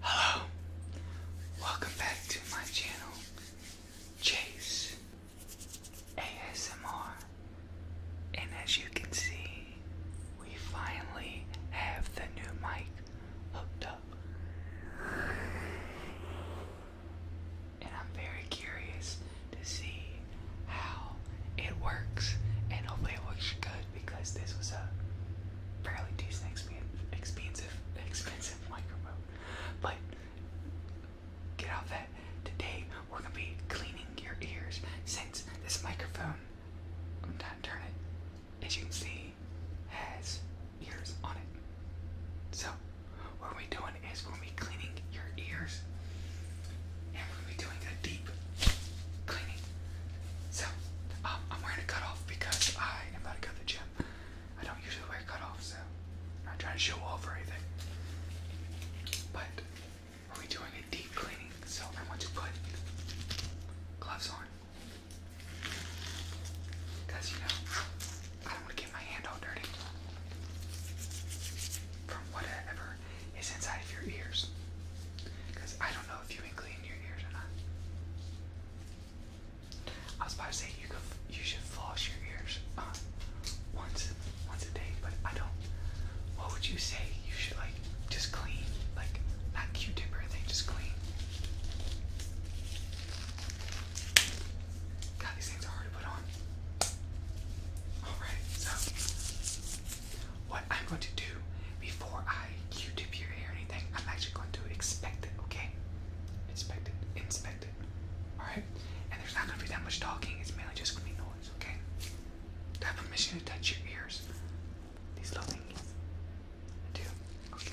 Hello, welcome back to my channel, Chase ASMR. And as you can see, we finally have the new mic hooked up. And I'm very curious to see how it works, and hopefully, it works good because this was a fairly decent, expensive, expensive microphone. But get off that. Today we're gonna be cleaning your ears since this microphone. I'm trying to turn it. As you can see, has ears on it. So what we're doing is we're gonna be cleaning your ears, and we're gonna be doing a deep cleaning. So, um, I'm wearing a cutoff because I am about to go to the gym. I don't usually wear cutoffs, so I'm not trying to show off or anything. But we're doing a deep cleaning, so I want to put gloves on. Because, you know, I don't want to get my hand all dirty from whatever is inside of your ears. Because I don't know if you can clean I was about to say you could, you should floss your ears uh, once once a day, but I don't. What would you say? You should like just clean, like not Q-tip or anything, just clean. God, these things are hard to put on. Alright, so what I'm going to do before I Q-tip your hair or anything, I'm actually going to inspect it, okay? Inspect it, inspect it, alright? And there's not going to be that much talking, it's mainly just going to be noise, okay? Do I have permission to touch your ears? These little things. do, okay.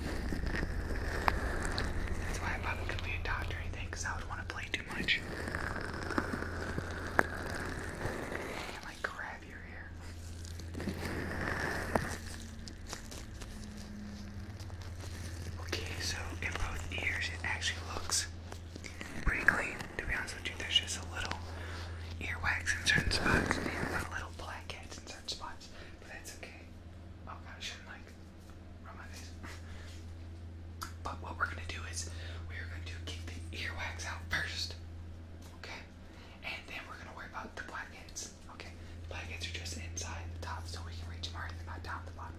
That's why I'm not going to be a doctor or anything, because I would want to play too much. And like grab your ear. Okay, so in both ears it actually looks pretty clean. To be honest with you, there's just a little earwax in certain spots and a little blackhead in certain spots, but that's okay. Oh god, I shouldn't like rub my face. but what we're gonna do is we're gonna do kick the earwax out first. Okay? And then we're gonna worry about the blackheads. Okay? The blackheads are just inside the top so we can reach them early, not down the bottom.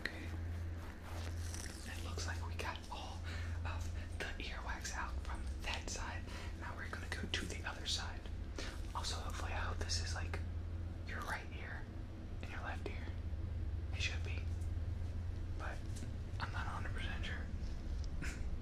Okay. It looks like we got all of the earwax out from that side. Now we're gonna go to the other side. Also, hopefully, I hope this is like your right ear and your left ear. It should be, but I'm not 100% sure.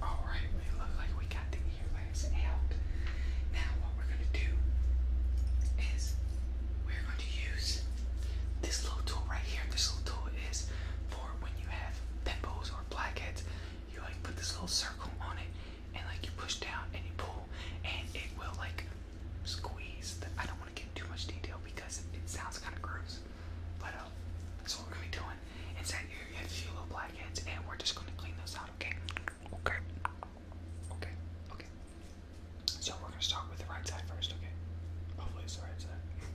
Alright, we look like we got the earwax out. Now what we're gonna do is we're going to use this little tool right here. This little tool is for when you have pimples or blackheads, you like put this little circle on it and like you push down and you pull and it will like squeeze I don't don't want to give too much detail because it sounds kind of gross. But um, so we're gonna be doing Inside here, you have a few little blackheads, and we're just gonna clean those out, okay? Okay. Okay. Okay. So we're gonna start with the right side first, okay? Hopefully the right side. Okay.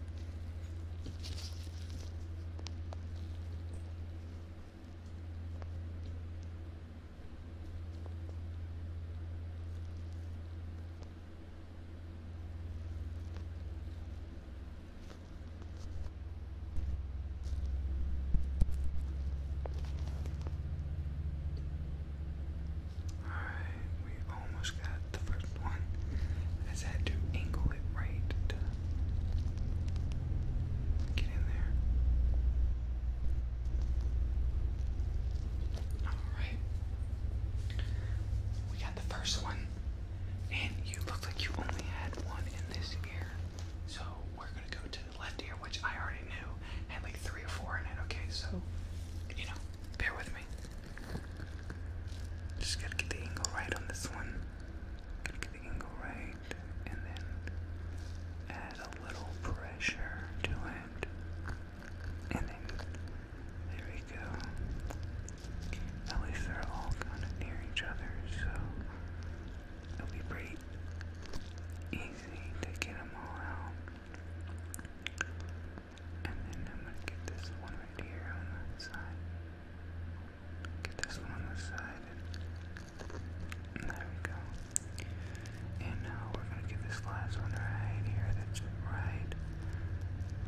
Alright, we almost got the first one. just had to angle it right get in there. Alright. We got the first one, and you look like you only had one in this ear. So we're gonna go to the left ear, which I already knew had like three or four in it. Okay, so you know, bear with me. Just gotta get the angle right on this one. get the angle right, and then add a little pressure to it, and then there we go. At least they're all kind of near each other, so it'll be pretty easy to get them all out. And then I'm going to get this one right here on the side. Get this one on the side. And there we go. And now we're going to get this last one right here that's right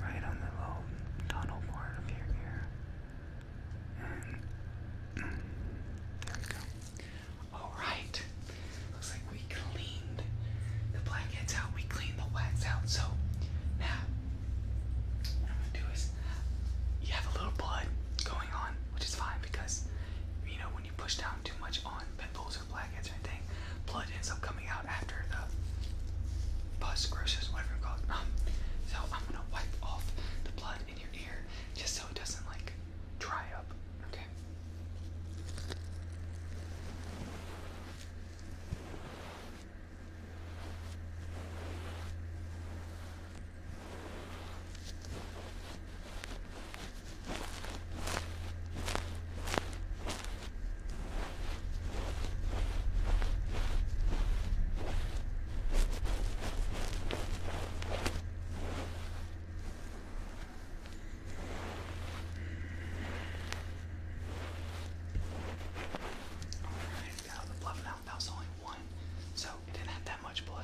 right on the little tunnel part of your ear. there we go. Alright. Looks like we cleaned the blackheads out, we cleaned the wax out. So now what I'm gonna do is you have a little blood going on, which is fine because you know when you push down too much on pimples Blood ends up coming out after the pus, groceries, whatever it's called. Um, so I'm gonna wipe off the blood in your ear just so it doesn't like dry up. Okay. Alright, got all the blood out. That was only one, so it didn't have that much blood.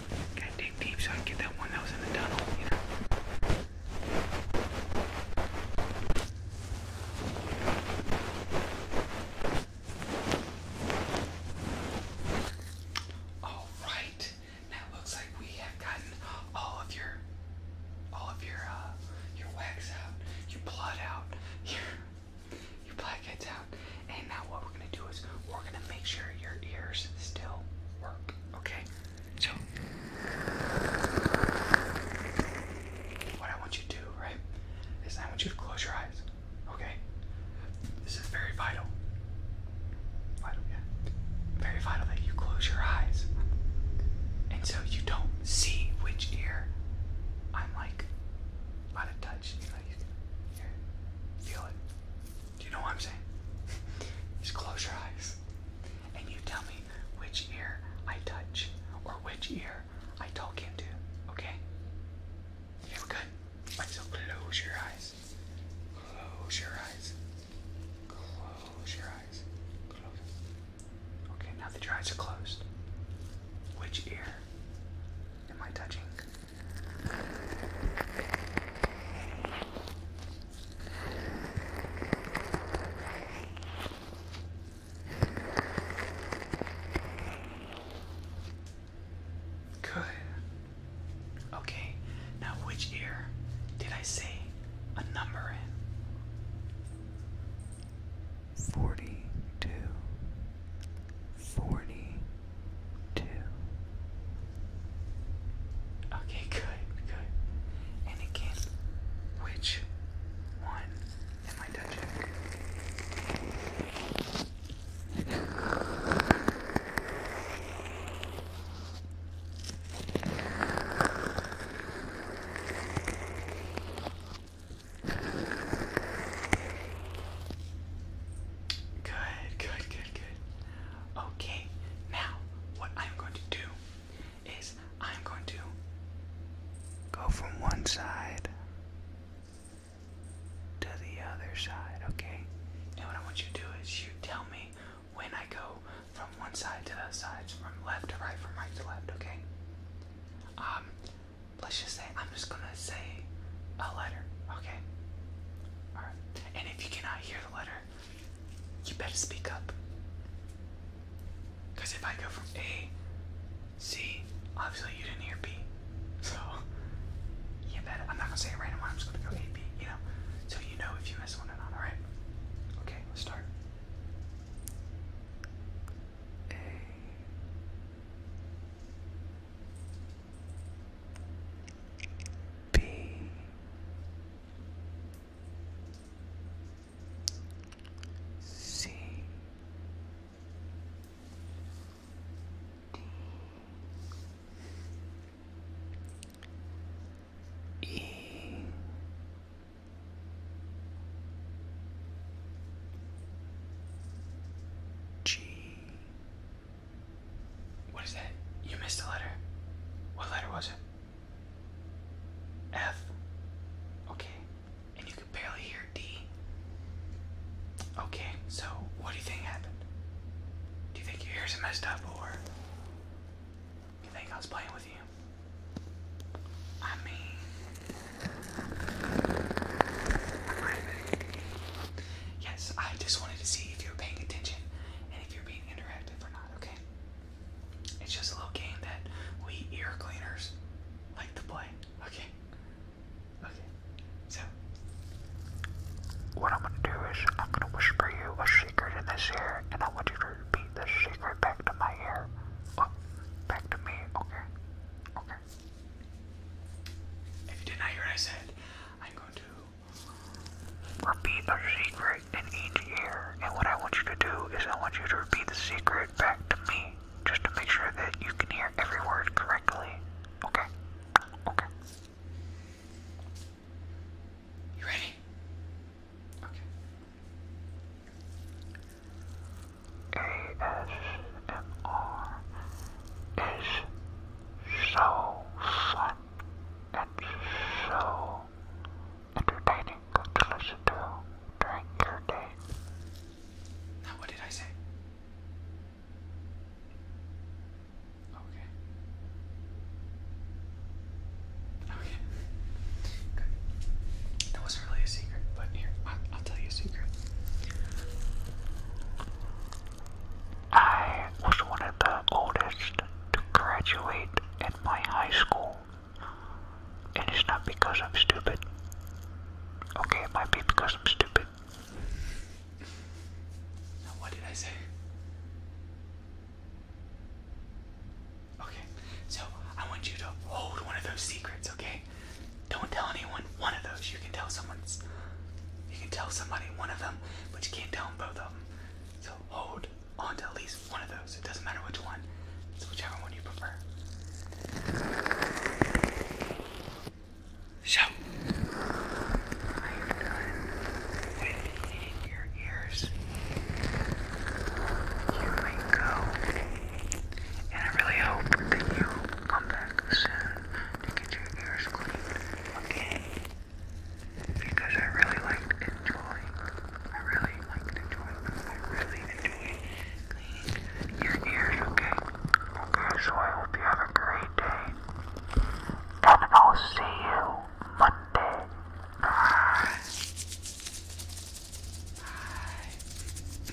Gotta dig deep so I can get that one that was in the tunnel, All right, now looks like we have gotten all of your, all of your, uh, your wax out, your blood out, your, your blackheads out, and now what what we're gonna do is we're gonna make sure your ears still work. Okay? So what I want you to do, right, is I want you to close your eyes. Okay? This is very vital. Vital, Very vital that you close your eyes. And so you don't see which ear I'm like about touch. You know, you can feel it. Do you know what I'm saying? Just close your eyes and you tell me which ear I touch or which ear I talk into, okay? Okay, we're good. Right, so close your eyes. Close your eyes. Close your eyes. Okay, now that your eyes are closed, which ear am I touching? Good. Okay, now which ear did I say a number in? Forty two forty two. Okay, good, good. And again, which one am I touching? Good, good, good, good. Okay, now what I'm going to do is I'm going to go from one side to the other side, okay? And what I want you to do is you tell me when I go from one side to the other side, from left to right, from right to left, okay? Um, let's just say I'm. I'm just gonna say a letter, okay? Alright. And if you cannot hear the letter, you better speak up. Because if I go from A, C, obviously you didn't hear B. So, you better. I'm not gonna say it right now, I'm just gonna go A, B, you know? So you know if you miss one or not, alright? Okay, let's start. A B C D E G what is that? You missed a letter. What letter was it? F. Okay. And you could barely hear D. Okay, so what do you think happened? Do you think your ears are messed up or you think I was playing with you? I mean, Yes, I just wanted to see if you are paying attention and if you're being interactive or not, okay? It's just a little game that we ear cleaners like to play, okay? Okay, so. What I'm gonna do is I'm gonna whisper you a secret in this ear and I want you to repeat this secret back to my ear. Oh, back to me, okay? Okay. If you did not hear what I said, I'm going to repeat a secret in each ear. And what I want you to do is I want you to repeat the secret back to me just to make sure that you can hear every word correctly. Okay? Okay. You ready? Okay. ASMR is so fun and so entertaining to listen to during your day. Now, what did I say? Okay. Okay. Good. That wasn't really a secret, but here, I'm, I'll tell you a secret. I was one of the oldest to graduate in my high school. And it's not because I'm stupid. Okay, it might be because I'm stupid. Now, what did I say? Okay, so I want you to hold one of those secrets, okay? Don't tell anyone one of those. You can tell someone's you can tell somebody one of them, but you can't tell them both of them. So hold on to at least one of those. It doesn't matter which one. It's whichever one you prefer. So come back soon to get your ears cleaned, okay? Because I really liked enjoying, I really liked enjoying, I really enjoyed cleaning your ears, okay? Okay, so I hope you have a great day. And I'll see you Monday. Bye. Bye.